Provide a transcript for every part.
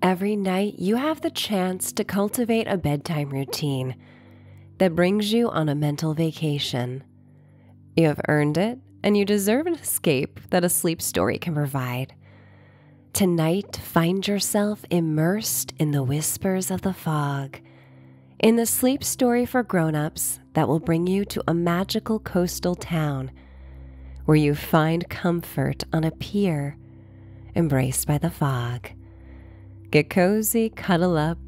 Every night, you have the chance to cultivate a bedtime routine that brings you on a mental vacation. You have earned it, and you deserve an escape that a sleep story can provide. Tonight, find yourself immersed in the whispers of the fog, in the sleep story for grown ups that will bring you to a magical coastal town where you find comfort on a pier embraced by the fog. Get cozy, cuddle up,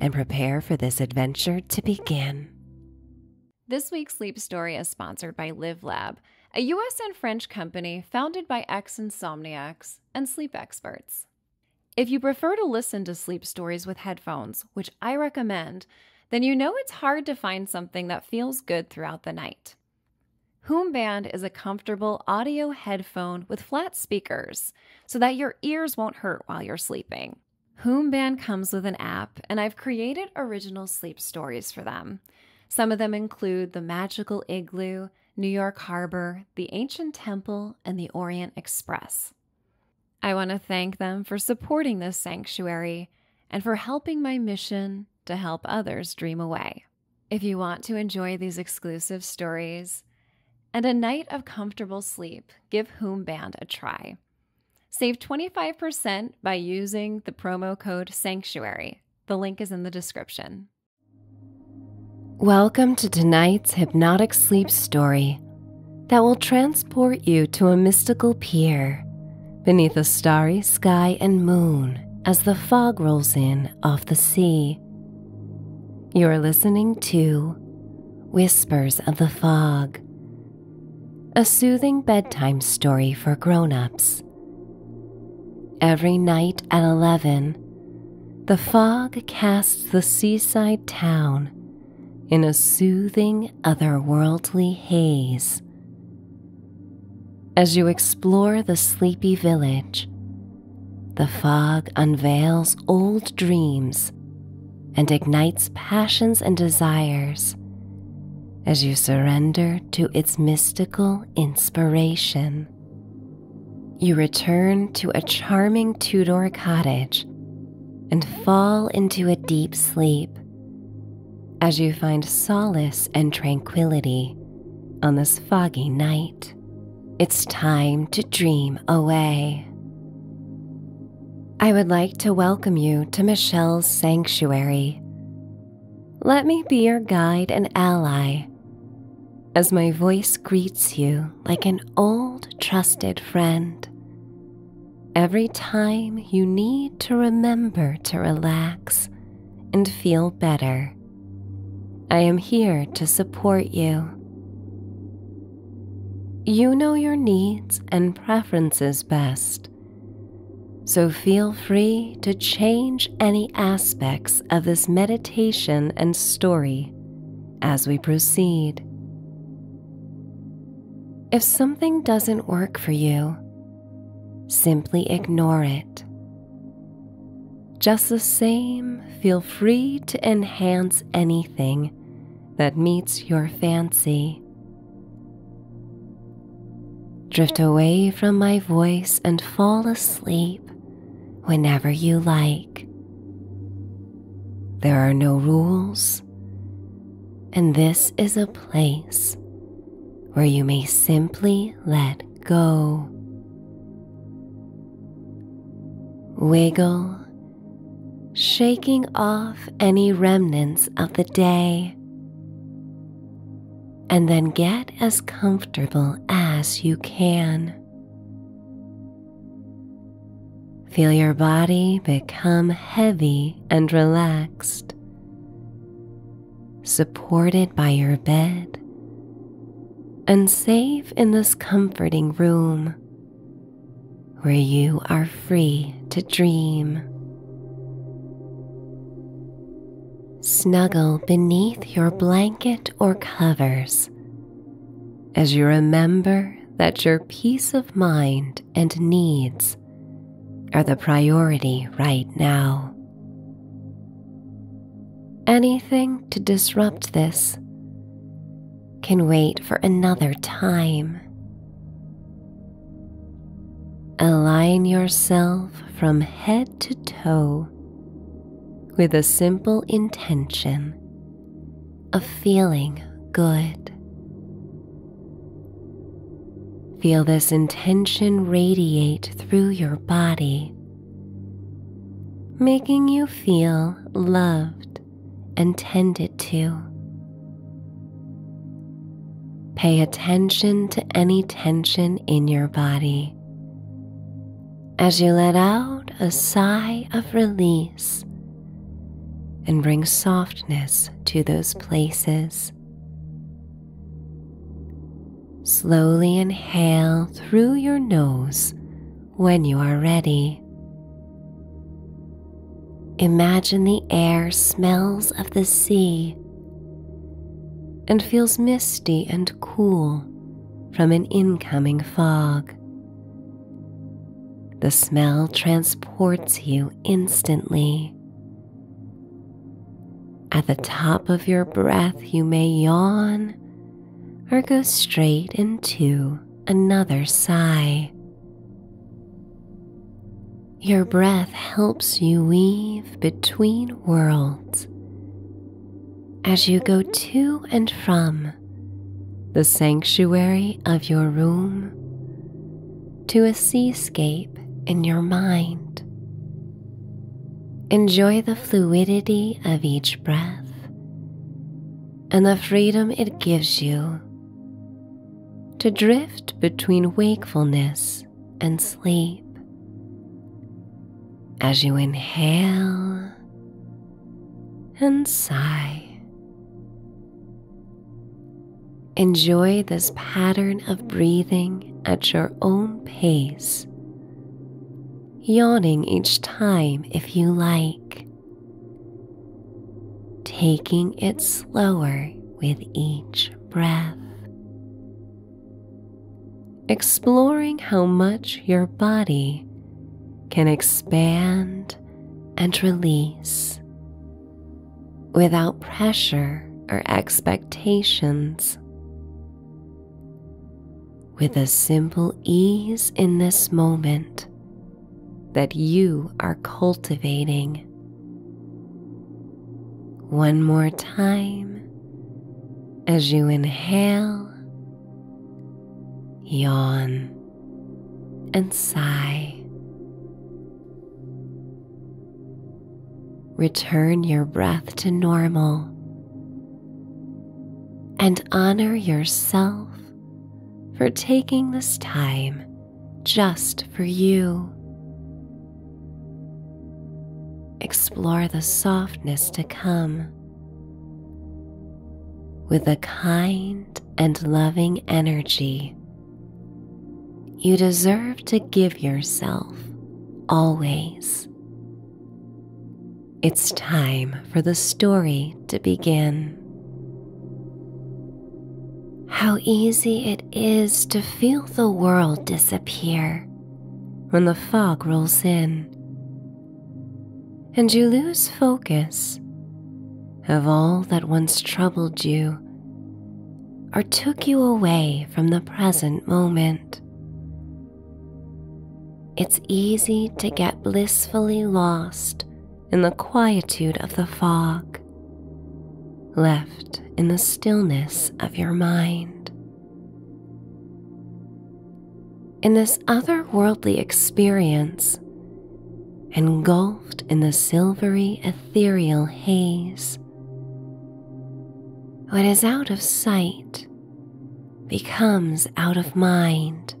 and prepare for this adventure to begin. This week's sleep story is sponsored by Live Lab, a US and French company founded by ex insomniacs and sleep experts. If you prefer to listen to sleep stories with headphones, which I recommend, then you know it's hard to find something that feels good throughout the night. Hoomband is a comfortable audio headphone with flat speakers so that your ears won't hurt while you're sleeping. Hoomband comes with an app, and I've created original sleep stories for them. Some of them include the magical igloo, New York Harbor, the ancient temple, and the Orient Express. I want to thank them for supporting this sanctuary and for helping my mission to help others dream away. If you want to enjoy these exclusive stories and a night of comfortable sleep, give Whomband a try. Save 25% by using the promo code SANCTUARY. The link is in the description. Welcome to tonight's hypnotic sleep story that will transport you to a mystical pier beneath a starry sky and moon as the fog rolls in off the sea. You're listening to Whispers of the Fog, a soothing bedtime story for grown ups. Every night at 11, the fog casts the seaside town in a soothing, otherworldly haze. As you explore the sleepy village, the fog unveils old dreams and ignites passions and desires as you surrender to its mystical inspiration. You return to a charming Tudor cottage and fall into a deep sleep as you find solace and tranquility on this foggy night. It's time to dream away. I would like to welcome you to Michelle's Sanctuary. Let me be your guide and ally as my voice greets you like an old trusted friend. Every time you need to remember to relax and feel better. I am here to support you. You know your needs and preferences best, so feel free to change any aspects of this meditation and story as we proceed. If something doesn't work for you, simply ignore it just the same, feel free to enhance anything that meets your fancy. Drift away from my voice and fall asleep whenever you like. There are no rules, and this is a place where you may simply let go. Wiggle, shaking off any remnants of the day, and then get as comfortable as you can. Feel your body become heavy and relaxed supported by your bed, and safe in this comforting room where you are free to dream. Snuggle beneath your blanket or covers as you remember that your peace of mind and needs are the priority right now. Anything to disrupt this can wait for another time. Align yourself from head to toe with a simple intention of feeling good. Feel this intention radiate through your body, making you feel loved and tended to. Pay attention to any tension in your body as you let out a sigh of release and bring softness to those places. Slowly inhale through your nose when you are ready. Imagine the air smells of the sea and feels misty and cool from an incoming fog. The smell transports you instantly at the top of your breath, you may yawn or go straight into another sigh. Your breath helps you weave between worlds as you go to and from the sanctuary of your room to a seascape in your mind. Enjoy the fluidity of each breath and the freedom it gives you to drift between wakefulness and sleep. As you inhale and sigh, enjoy this pattern of breathing at your own pace, yawning each time if you like, taking it slower with each breath. Exploring how much your body can expand and release without pressure or expectations. With a simple ease in this moment that you are cultivating. One more time as you inhale, yawn, and sigh. Return your breath to normal and honor yourself for taking this time just for you. Explore the softness to come with a kind and loving energy you deserve to give yourself always. It's time for the story to begin. How easy it is to feel the world disappear when the fog rolls in and you lose focus of all that once troubled you or took you away from the present moment. It's easy to get blissfully lost in the quietude of the fog, left in the stillness of your mind. In this otherworldly experience, engulfed in the silvery ethereal haze, what is out of sight becomes out of mind.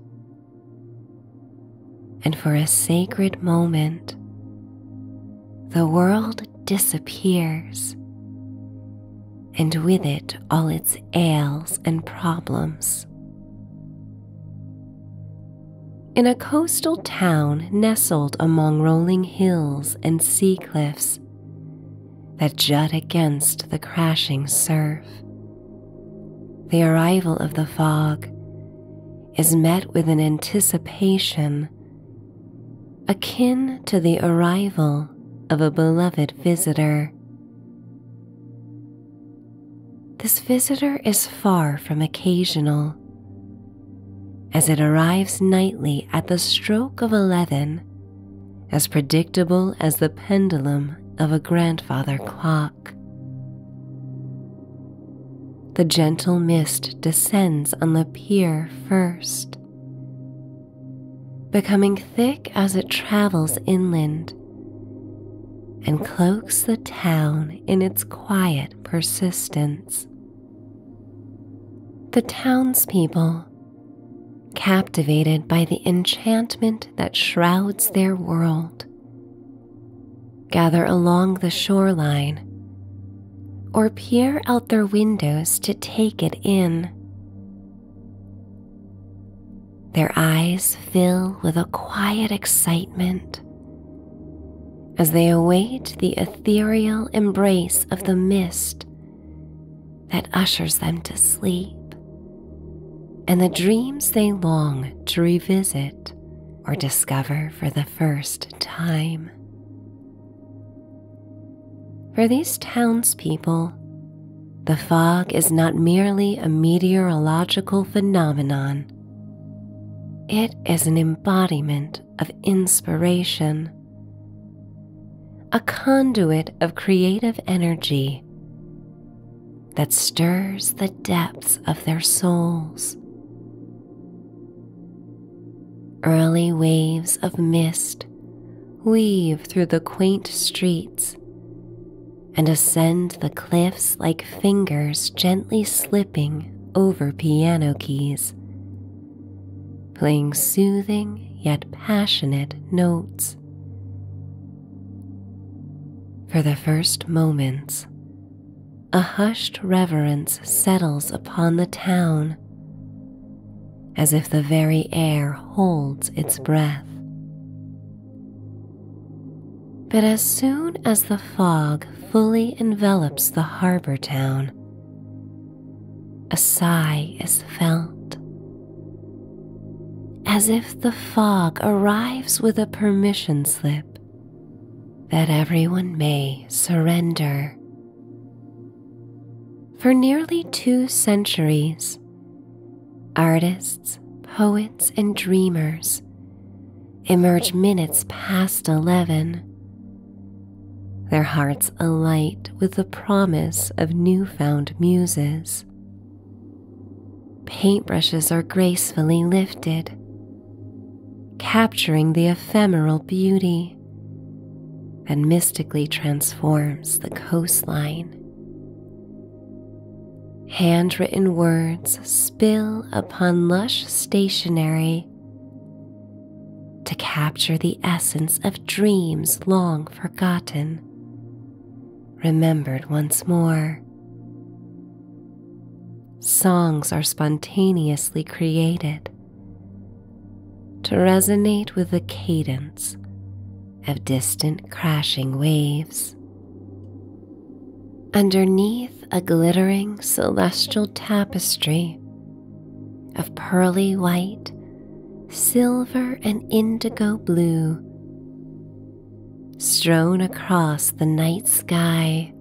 And for a sacred moment, the world disappears, and with it all its ails and problems. In a coastal town nestled among rolling hills and sea cliffs, that jut against the crashing surf. The arrival of the fog is met with an anticipation akin to the arrival of a beloved visitor. This visitor is far from occasional, as it arrives nightly at the stroke of 11, as predictable as the pendulum of a grandfather clock. The gentle mist descends on the pier first, becoming thick as it travels inland and cloaks the town in its quiet persistence. The townspeople, captivated by the enchantment that shrouds their world, gather along the shoreline or peer out their windows to take it in. Their eyes fill with a quiet excitement as they await the ethereal embrace of the mist that ushers them to sleep and the dreams they long to revisit or discover for the first time. For these townspeople, the fog is not merely a meteorological phenomenon. It is an embodiment of inspiration, a conduit of creative energy that stirs the depths of their souls. Early waves of mist weave through the quaint streets and ascend the cliffs like fingers gently slipping over piano keys playing soothing yet passionate notes. For the first moments, a hushed reverence settles upon the town as if the very air holds its breath. But as soon as the fog fully envelops the harbor town, a sigh is felt, as if the fog arrives with a permission slip that everyone may surrender. For nearly two centuries, artists, poets, and dreamers emerge minutes past 11 their hearts alight with the promise of newfound muses. Paintbrushes are gracefully lifted, capturing the ephemeral beauty and mystically transforms the coastline. Handwritten words spill upon lush stationery to capture the essence of dreams long forgotten, remembered once more. Songs are spontaneously created to resonate with the cadence of distant crashing waves. Underneath a glittering celestial tapestry of pearly white, silver, and indigo blue, strown across the night sky.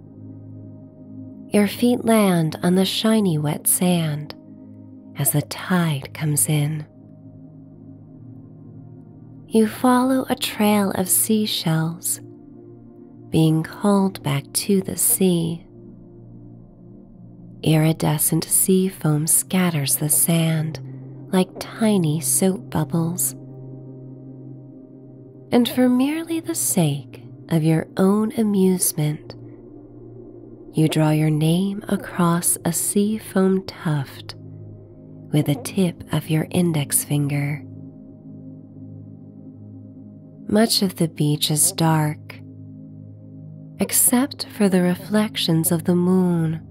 Your feet land on the shiny wet sand as the tide comes in. You follow a trail of seashells being called back to the sea. Iridescent sea foam scatters the sand like tiny soap bubbles. And for merely the sake of your own amusement, you draw your name across a sea foam tuft with the tip of your index finger. Much of the beach is dark, except for the reflections of the moon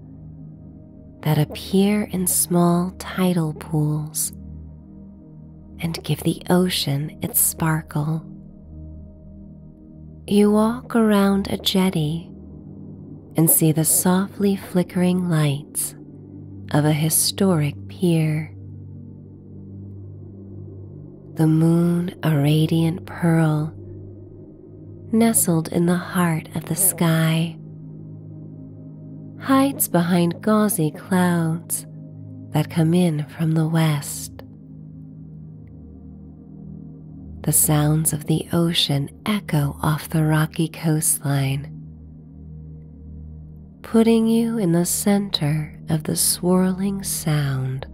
that appear in small tidal pools and give the ocean its sparkle. You walk around a jetty and see the softly flickering lights of a historic pier. The moon, a radiant pearl, nestled in the heart of the sky, hides behind gauzy clouds that come in from the west. The sounds of the ocean echo off the rocky coastline, putting you in the center of the swirling sound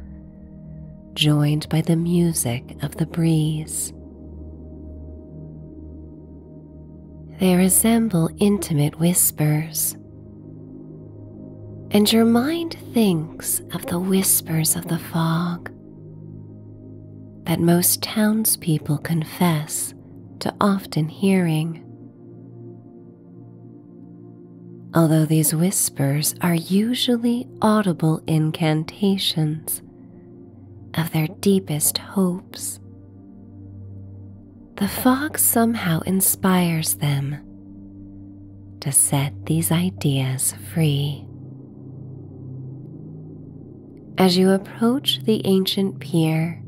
joined by the music of the breeze. They resemble intimate whispers, and your mind thinks of the whispers of the fog that most townspeople confess to often hearing. Although these whispers are usually audible incantations of their deepest hopes, the fog somehow inspires them to set these ideas free. As you approach the ancient pier,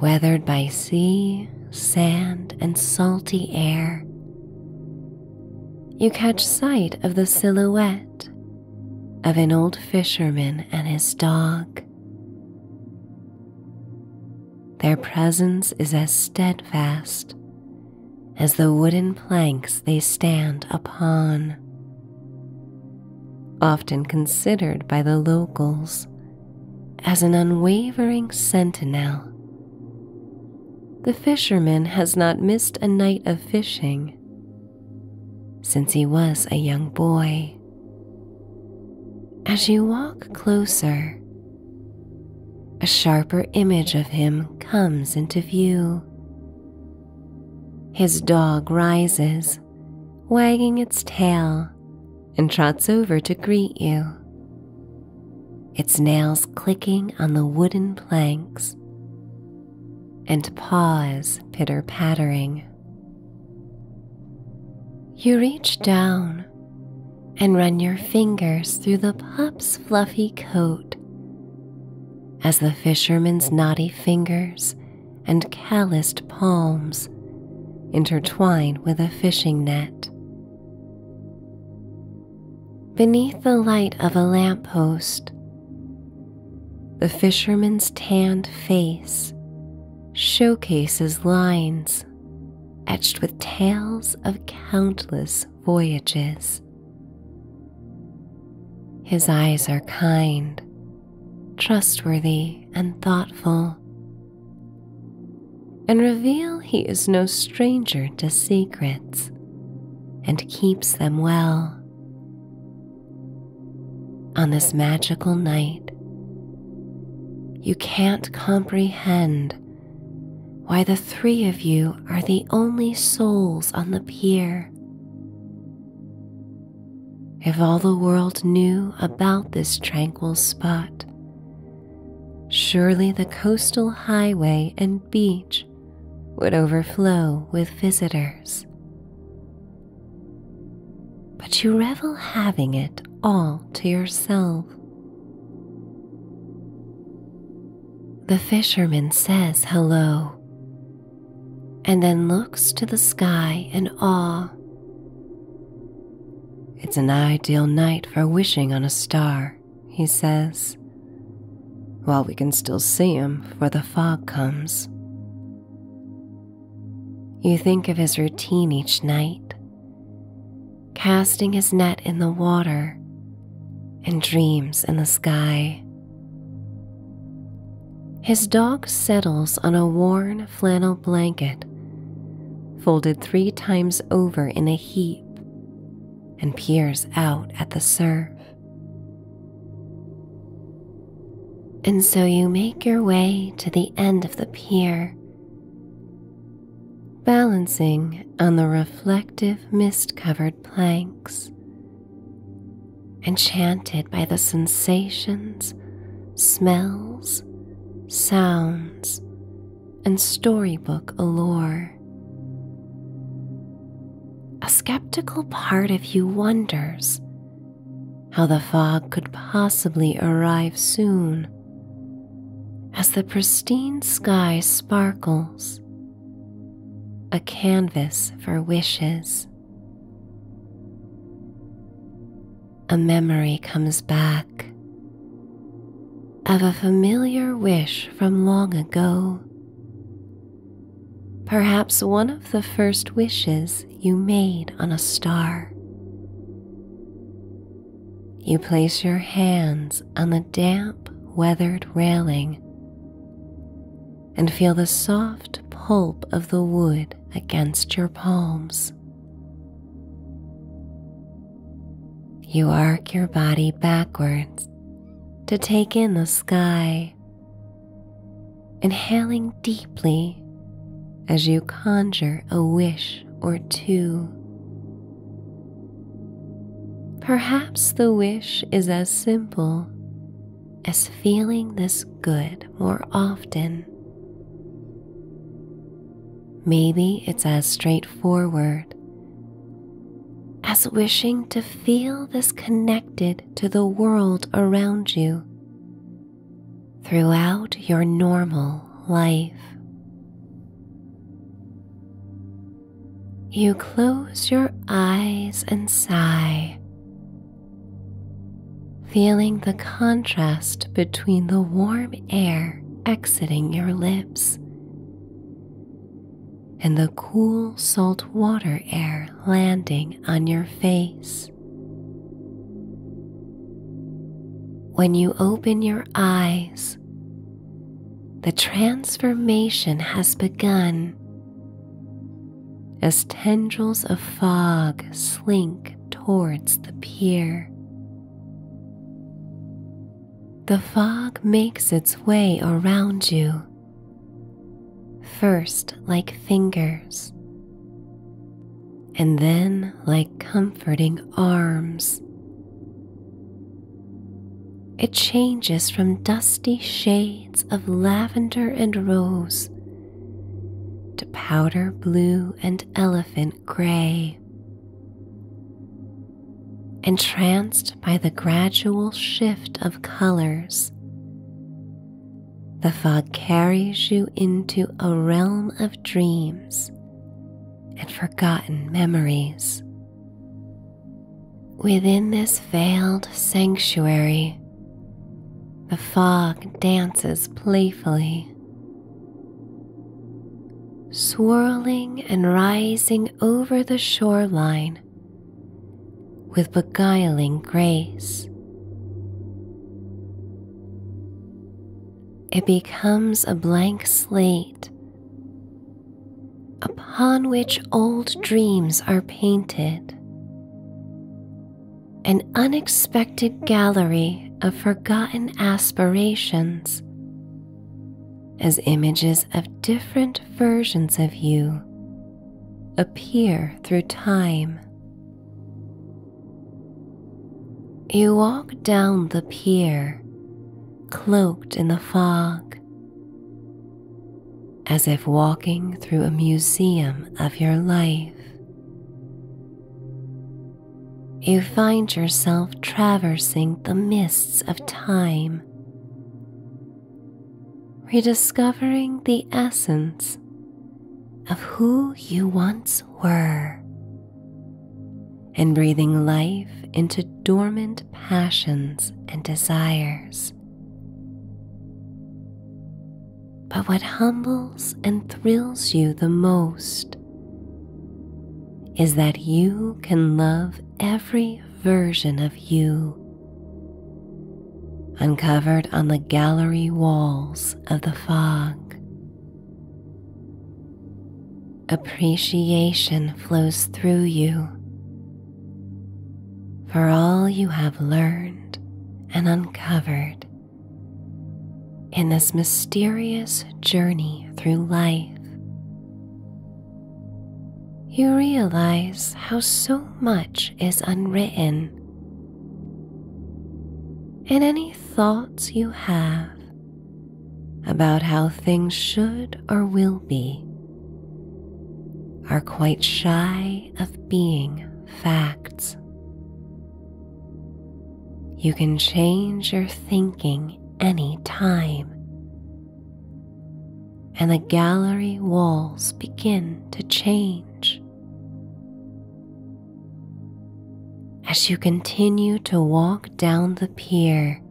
weathered by sea sand, and salty air, you catch sight of the silhouette of an old fisherman and his dog. Their presence is as steadfast as the wooden planks they stand upon, often considered by the locals as an unwavering sentinel. The fisherman has not missed a night of fishing since he was a young boy. As you walk closer, a sharper image of him comes into view. His dog rises, wagging its tail and trots over to greet you, its nails clicking on the wooden planks and paws pitter pattering. You reach down and run your fingers through the pup's fluffy coat as the fisherman's knotty fingers and calloused palms intertwine with a fishing net. Beneath the light of a lamp post, the fisherman's tanned face showcases lines etched with tales of countless voyages. His eyes are kind, trustworthy, and thoughtful, and reveal he is no stranger to secrets and keeps them well. On this magical night, you can't comprehend why the three of you are the only souls on the pier. If all the world knew about this tranquil spot, Surely the coastal highway and beach would overflow with visitors. But you revel having it all to yourself. The fisherman says hello and then looks to the sky in awe. It's an ideal night for wishing on a star, he says. While we can still see him for the fog comes. You think of his routine each night, casting his net in the water and dreams in the sky. His dog settles on a worn flannel blanket, folded three times over in a heap and peers out at the surf. And so you make your way to the end of the pier, balancing on the reflective mist covered planks, enchanted by the sensations, smells, sounds, and storybook allure. A skeptical part of you wonders how the fog could possibly arrive soon as the pristine sky sparkles, a canvas for wishes. A memory comes back of a familiar wish from long ago. Perhaps one of the first wishes you made on a star. You place your hands on the damp, weathered railing and feel the soft pulp of the wood against your palms. You arc your body backwards to take in the sky, inhaling deeply as you conjure a wish or two. Perhaps the wish is as simple as feeling this good more often. Maybe it's as straightforward as wishing to feel this connected to the world around you throughout your normal life. You close your eyes and sigh, feeling the contrast between the warm air exiting your lips. And the cool salt water air landing on your face. When you open your eyes, the transformation has begun as tendrils of fog slink towards the pier. The fog makes its way around you, first like fingers, and then like comforting arms. It changes from dusty shades of lavender and rose to powder blue and elephant gray, entranced by the gradual shift of colors. The fog carries you into a realm of dreams and forgotten memories. Within this veiled sanctuary, the fog dances playfully, swirling and rising over the shoreline with beguiling grace. It becomes a blank slate upon which old dreams are painted, an unexpected gallery of forgotten aspirations as images of different versions of you appear through time. You walk down the pier, cloaked in the fog, as if walking through a museum of your life you find yourself traversing the mists of time, rediscovering the essence of who you once were, and breathing life into dormant passions and desires. But what humbles and thrills you the most is that you can love every version of you uncovered on the gallery walls of the fog. Appreciation flows through you for all you have learned and uncovered in this mysterious journey through life, you realize how so much is unwritten. And any thoughts you have about how things should or will be are quite shy of being facts. You can change your thinking any time, and the gallery walls begin to change. As you continue to walk down the pier,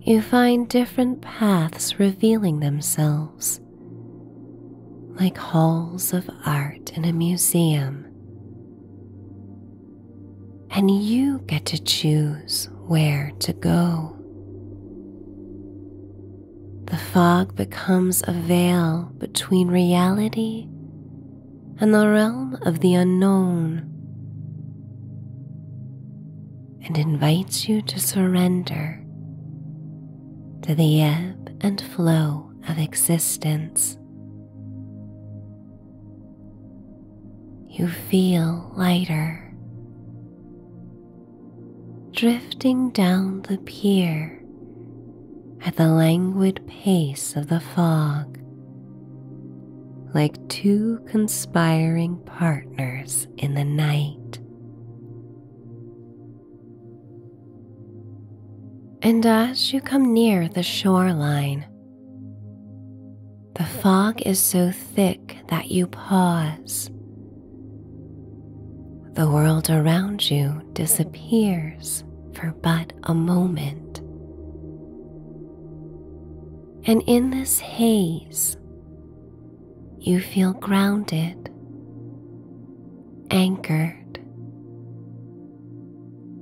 you find different paths revealing themselves, like halls of art in a museum and you get to choose where to go. The fog becomes a veil between reality and the realm of the unknown and invites you to surrender to the ebb and flow of existence. You feel lighter, drifting down the pier at the languid pace of the fog, like two conspiring partners in the night. And as you come near the shoreline, the fog is so thick that you pause. The world around you disappears for but a moment. And in this haze, you feel grounded, anchored,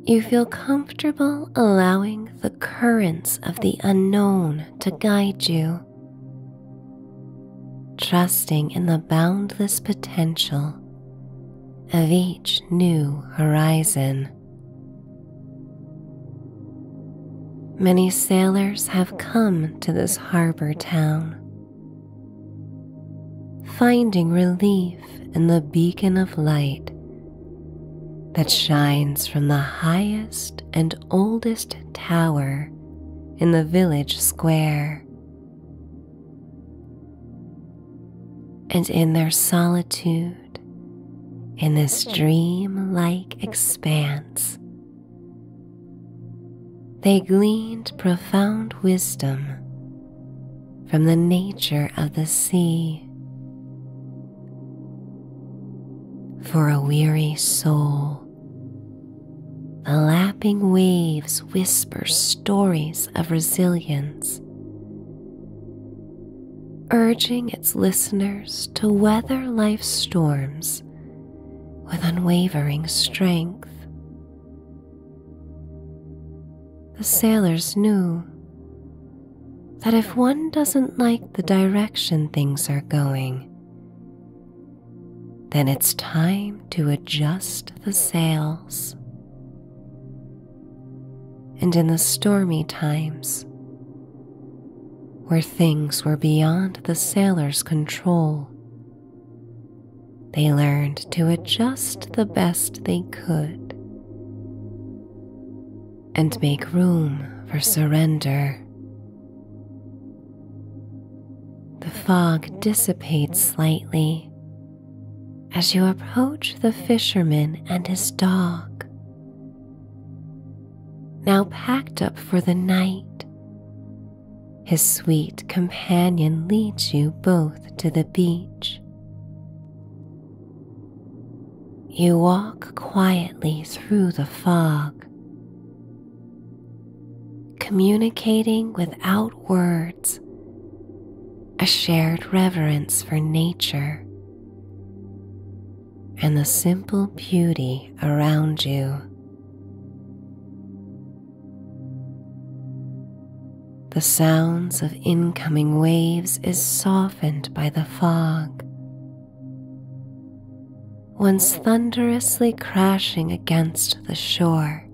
you feel comfortable allowing the currents of the unknown to guide you, trusting in the boundless potential of each new horizon. Many sailors have come to this harbor town, finding relief in the beacon of light that shines from the highest and oldest tower in the village square. And in their solitude, in this dream like expanse, they gleaned profound wisdom from the nature of the sea. For a weary soul, the lapping waves whisper stories of resilience, urging its listeners to weather life's storms with unwavering strength. The sailors knew that if one doesn't like the direction things are going, then it's time to adjust the sails. And in the stormy times, where things were beyond the sailor's control, they learned to adjust the best they could and make room for surrender. The fog dissipates slightly as you approach the fisherman and his dog. Now packed up for the night, his sweet companion leads you both to the beach. You walk quietly through the fog, communicating without words a shared reverence for nature and the simple beauty around you the sounds of incoming waves is softened by the fog. Once thunderously crashing against the shore,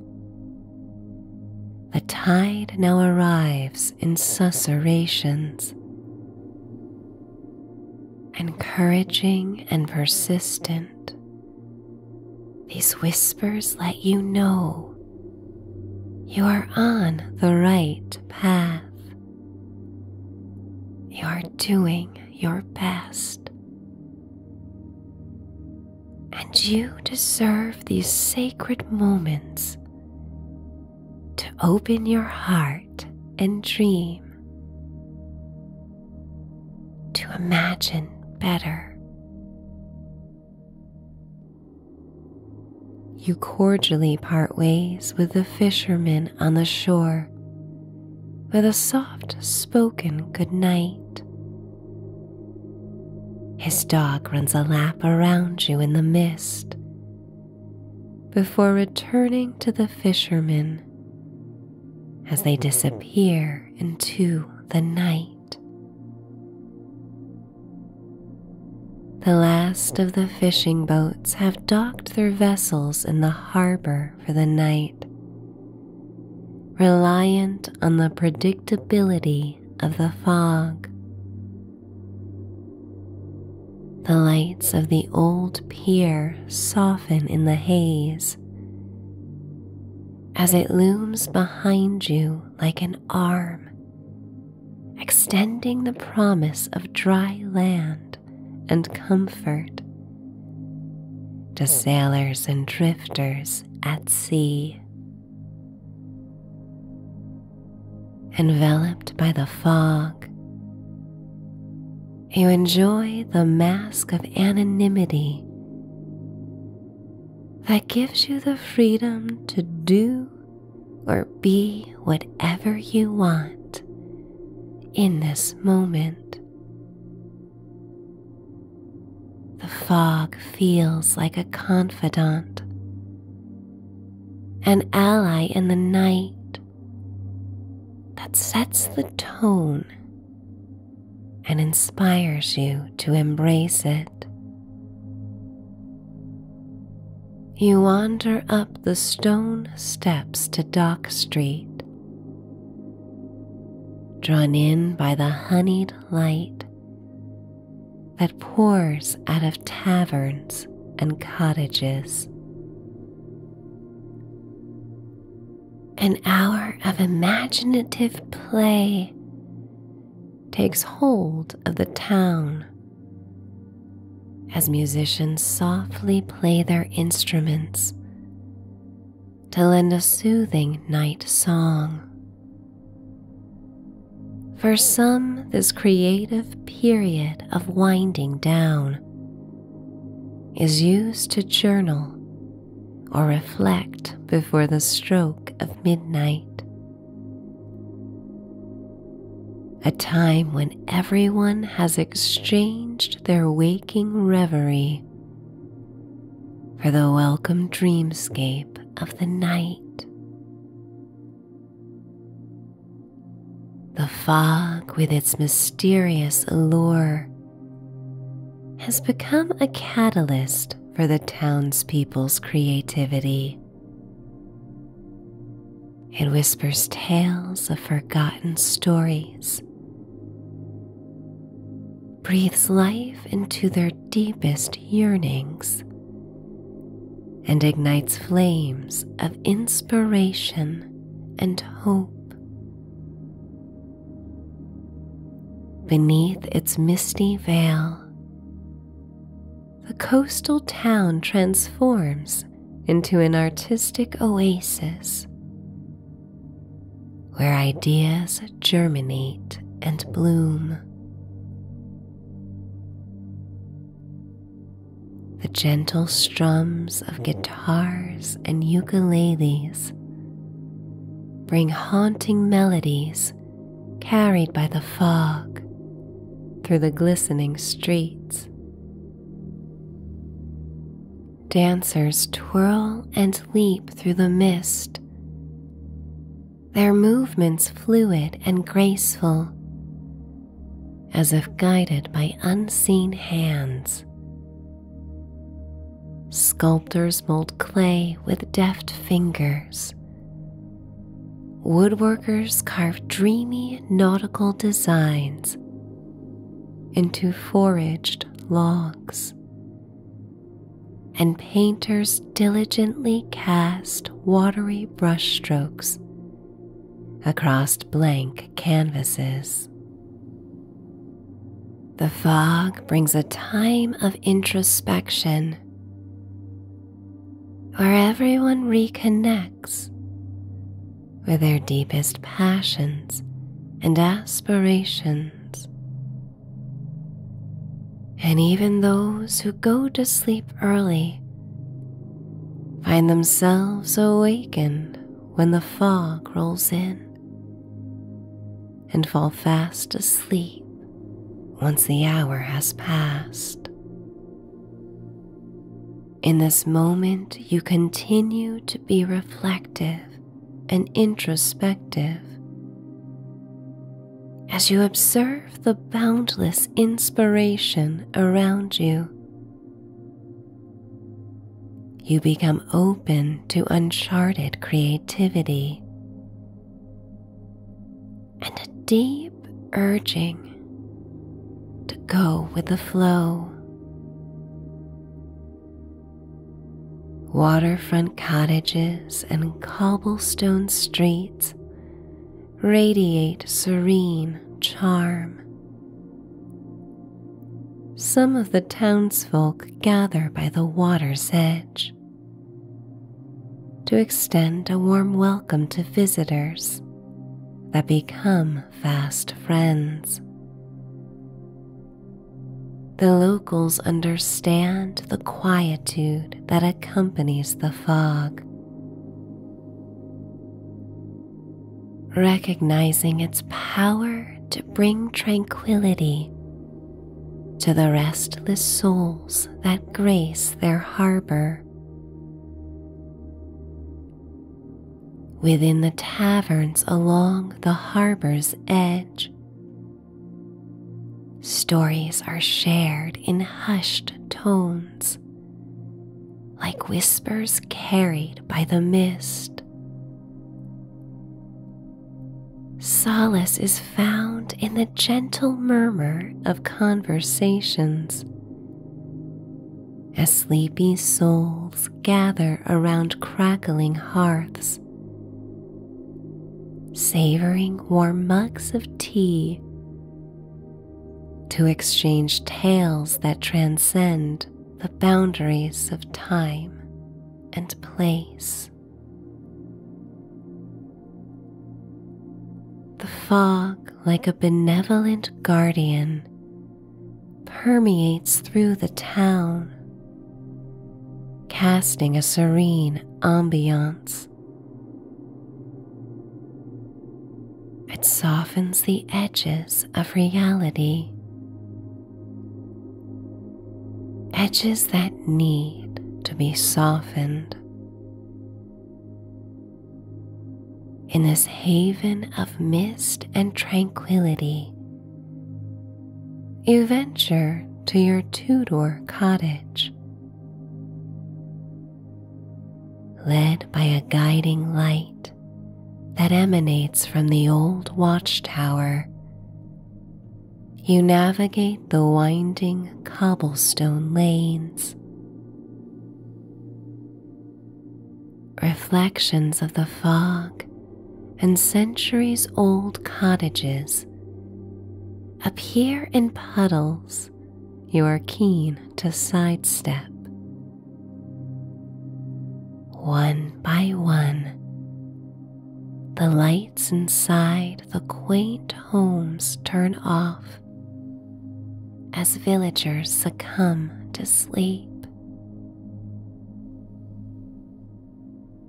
the tide now arrives in susurrations, encouraging and persistent. These whispers let you know you are on the right path. You are doing your best. And you deserve these sacred moments to open your heart and dream, to imagine better, you cordially part ways with the fisherman on the shore with a soft spoken good night. His dog runs a lap around you in the mist before returning to the fishermen as they disappear into the night. The last of the fishing boats have docked their vessels in the harbor for the night, reliant on the predictability of the fog. The lights of the old pier soften in the haze as it looms behind you like an arm extending the promise of dry land and comfort to sailors and drifters at sea. Enveloped by the fog, you enjoy the mask of anonymity that gives you the freedom to do or be whatever you want in this moment. The fog feels like a confidant, an ally in the night that sets the tone and inspires you to embrace it. You wander up the stone steps to Dock Street, drawn in by the honeyed light that pours out of taverns and cottages. An hour of imaginative play takes hold of the town. As musicians softly play their instruments to lend a soothing night song. For some, this creative period of winding down is used to journal or reflect before the stroke of midnight a time when everyone has exchanged their waking reverie for the welcome dreamscape of the night. The fog, with its mysterious allure, has become a catalyst for the townspeople's creativity. It whispers tales of forgotten stories, breathes life into their deepest yearnings, and ignites flames of inspiration and hope. Beneath its misty veil, the coastal town transforms into an artistic oasis where ideas germinate and bloom. The gentle strums of guitars and ukuleles bring haunting melodies carried by the fog through the glistening streets. Dancers twirl and leap through the mist, their movements fluid and graceful, as if guided by unseen hands. Sculptors mold clay with deft fingers Woodworkers carve dreamy nautical designs into foraged logs, and painters diligently cast watery brushstrokes across blank canvases. The fog brings a time of introspection where everyone reconnects with their deepest passions and aspirations. And even those who go to sleep early find themselves awakened when the fog rolls in and fall fast asleep once the hour has passed. In this moment, you continue to be reflective and introspective as you observe the boundless inspiration around you. You become open to uncharted creativity and a deep urging to go with the flow. Waterfront cottages and cobblestone streets radiate serene charm. Some of the townsfolk gather by the water's edge to extend a warm welcome to visitors that become fast friends. The locals understand the quietude that accompanies the fog. Recognizing its power to bring tranquility to the restless souls that grace their harbor. Within the taverns along the harbor's edge, stories are shared in hushed tones, like whispers carried by the mist. Solace is found in the gentle murmur of conversations as sleepy souls gather around crackling hearths, savoring warm mugs of tea to exchange tales that transcend the boundaries of time and place. The fog, like a benevolent guardian, permeates through the town, casting a serene ambiance. It softens the edges of reality, edges that need to be softened. In this haven of mist and tranquility, you venture to your Tudor cottage. Led by a guiding light that emanates from the old watchtower, you navigate the winding cobblestone lanes. Reflections of the fog and centuries old cottages appear in puddles you are keen to sidestep. One by one, the lights inside the quaint homes turn off as villagers succumb to sleep.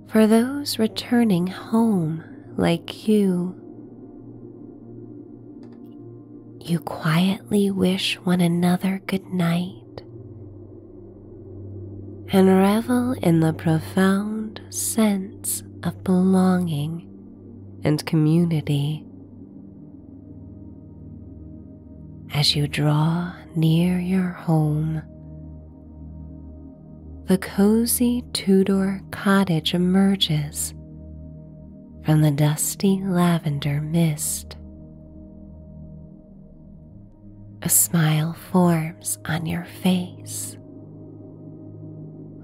For those returning home like you, you quietly wish one another good night and revel in the profound sense of belonging and community. As you draw near your home, the cozy Tudor cottage emerges from the dusty lavender mist. A smile forms on your face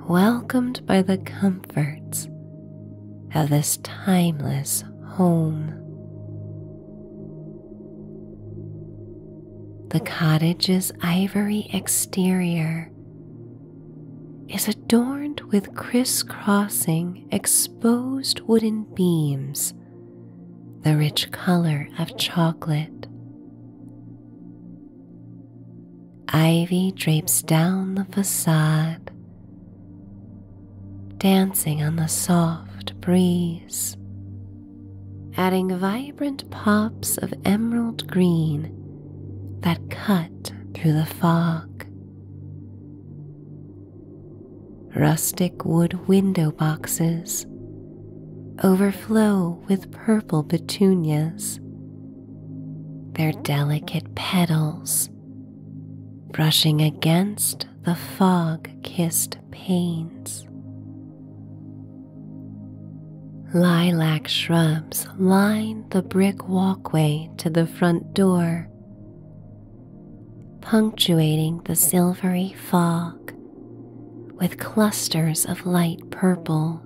welcomed by the comforts of this timeless home. The cottage's ivory exterior is adorned with crisscrossing exposed wooden beams, the rich color of chocolate. Ivy drapes down the facade, dancing on the soft breeze, adding vibrant pops of emerald green that cut through the fog. Rustic wood window boxes overflow with purple petunias their delicate petals brushing against the fog kissed panes. Lilac shrubs line the brick walkway to the front door, punctuating the silvery fog with clusters of light purple.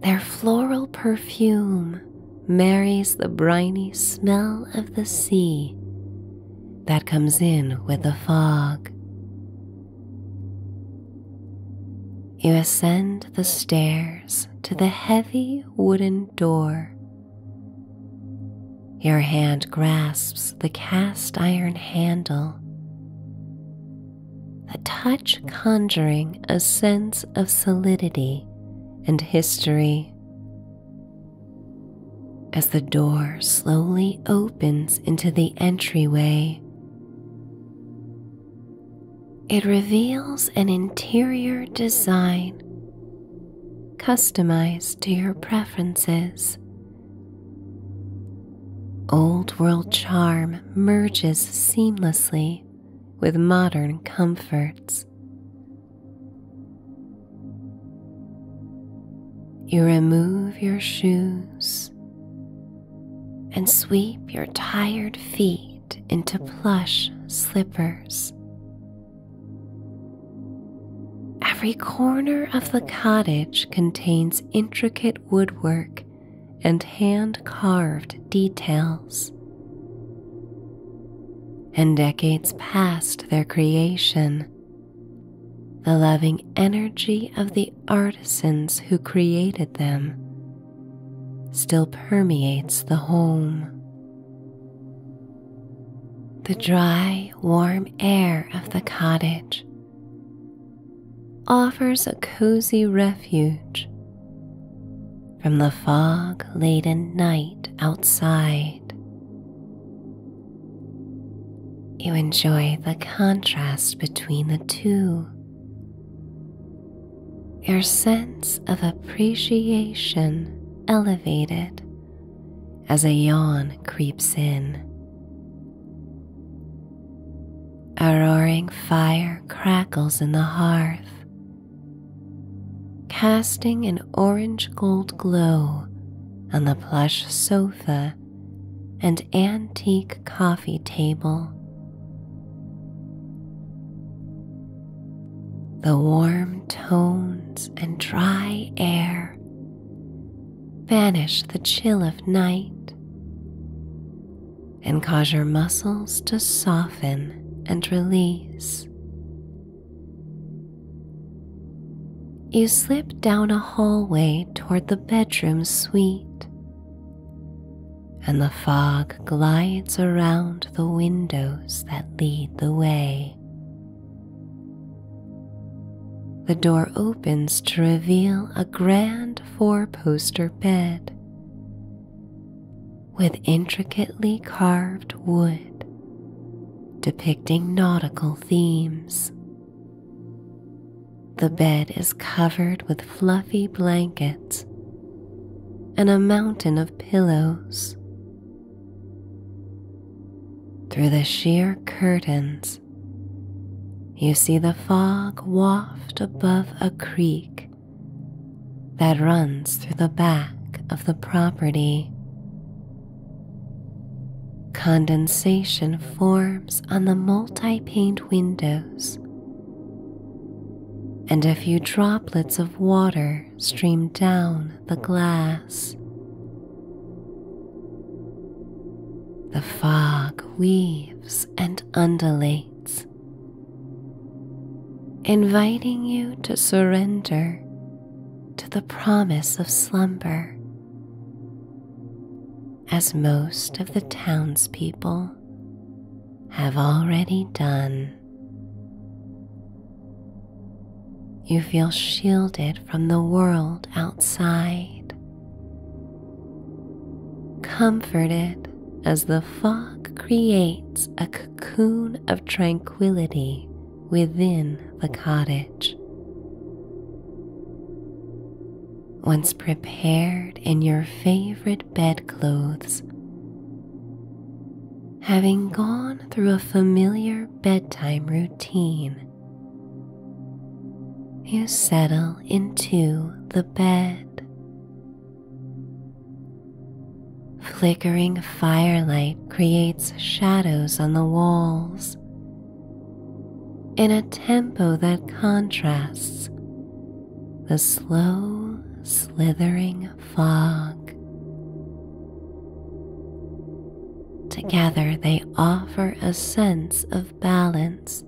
Their floral perfume marries the briny smell of the sea that comes in with the fog. You ascend the stairs to the heavy wooden door. Your hand grasps the cast iron handle the touch conjuring a sense of solidity and history. As the door slowly opens into the entryway, it reveals an interior design customized to your preferences Old world charm merges seamlessly with modern comforts. You remove your shoes and sweep your tired feet into plush slippers. Every corner of the cottage contains intricate woodwork and hand carved details. And decades past their creation, the loving energy of the artisans who created them still permeates the home. The dry, warm air of the cottage offers a cozy refuge from the fog laden night outside. You enjoy the contrast between the two. Your sense of appreciation elevated as a yawn creeps in. A roaring fire crackles in the hearth, casting an orange gold glow on the plush sofa and antique coffee table. The warm tones and dry air banish the chill of night and cause your muscles to soften and release. You slip down a hallway toward the bedroom suite, and the fog glides around the windows that lead the way. The door opens to reveal a grand four poster bed with intricately carved wood depicting nautical themes. The bed is covered with fluffy blankets and a mountain of pillows. Through the sheer curtains, you see the fog waft above a creek that runs through the back of the property. Condensation forms on the multi pane windows, and a few droplets of water stream down the glass. The fog weaves and undulates inviting you to surrender to the promise of slumber, as most of the townspeople have already done. You feel shielded from the world outside Comforted as the fog creates a cocoon of tranquility within the cottage. Once prepared in your favorite bedclothes, having gone through a familiar bedtime routine, you settle into the bed. Flickering firelight creates shadows on the walls in a tempo that contrasts the slow, slithering fog. Together, they offer a sense of balance.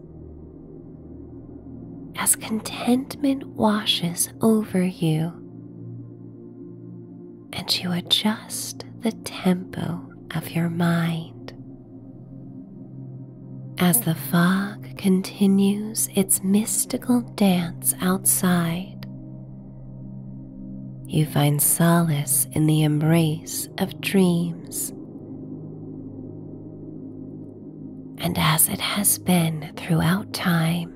As contentment washes over you, and you adjust the tempo of your mind. As the fog continues its mystical dance outside, you find solace in the embrace of dreams and as it has been throughout time.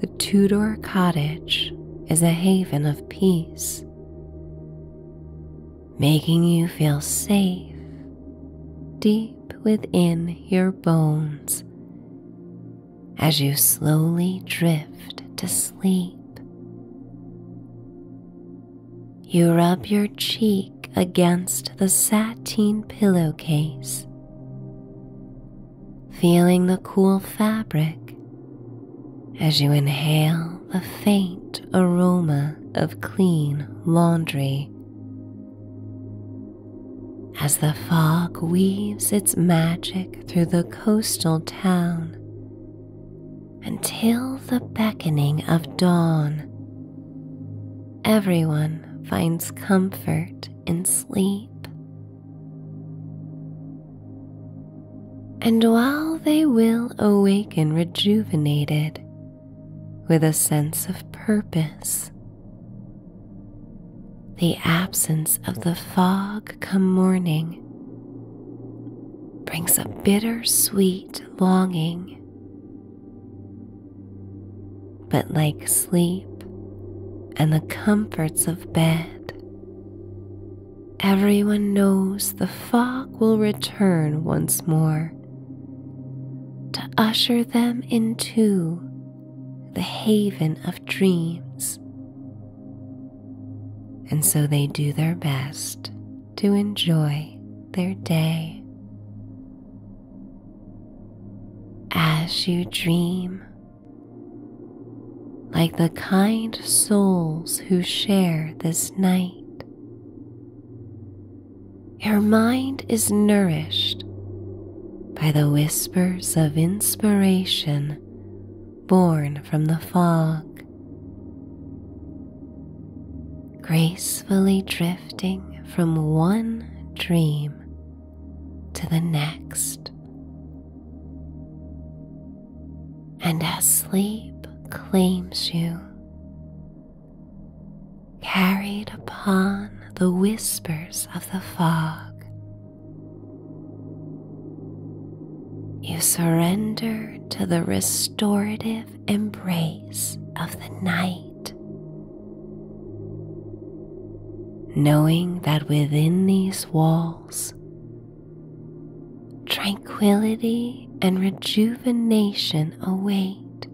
The Tudor cottage is a haven of peace, making you feel safe deep within your bones as you slowly drift to sleep. You rub your cheek against the satin pillowcase, feeling the cool fabric as you inhale the faint aroma of clean laundry. As the fog weaves its magic through the coastal town, until the beckoning of dawn. Everyone finds comfort in sleep. And while they will awaken rejuvenated with a sense of purpose, the absence of the fog come morning brings a bittersweet longing but like sleep and the comforts of bed, everyone knows the fog will return once more to usher them into the haven of dreams. And so they do their best to enjoy their day. As you dream, like the kind souls who share this night, your mind is nourished by the whispers of inspiration born from the fog gracefully drifting from one dream to the next. And as sleep claims you, carried upon the whispers of the fog, you surrender to the restorative embrace of the night. Knowing that within these walls, tranquility and rejuvenation await,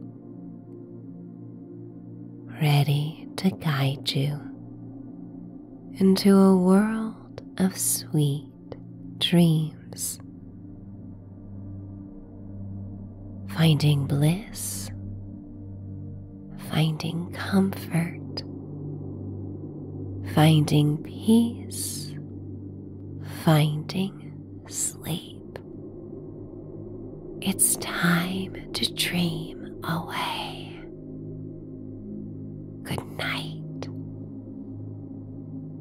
ready to guide you into a world of sweet dreams. Finding bliss, finding comfort, finding peace, finding sleep. It's time to dream away. Good night.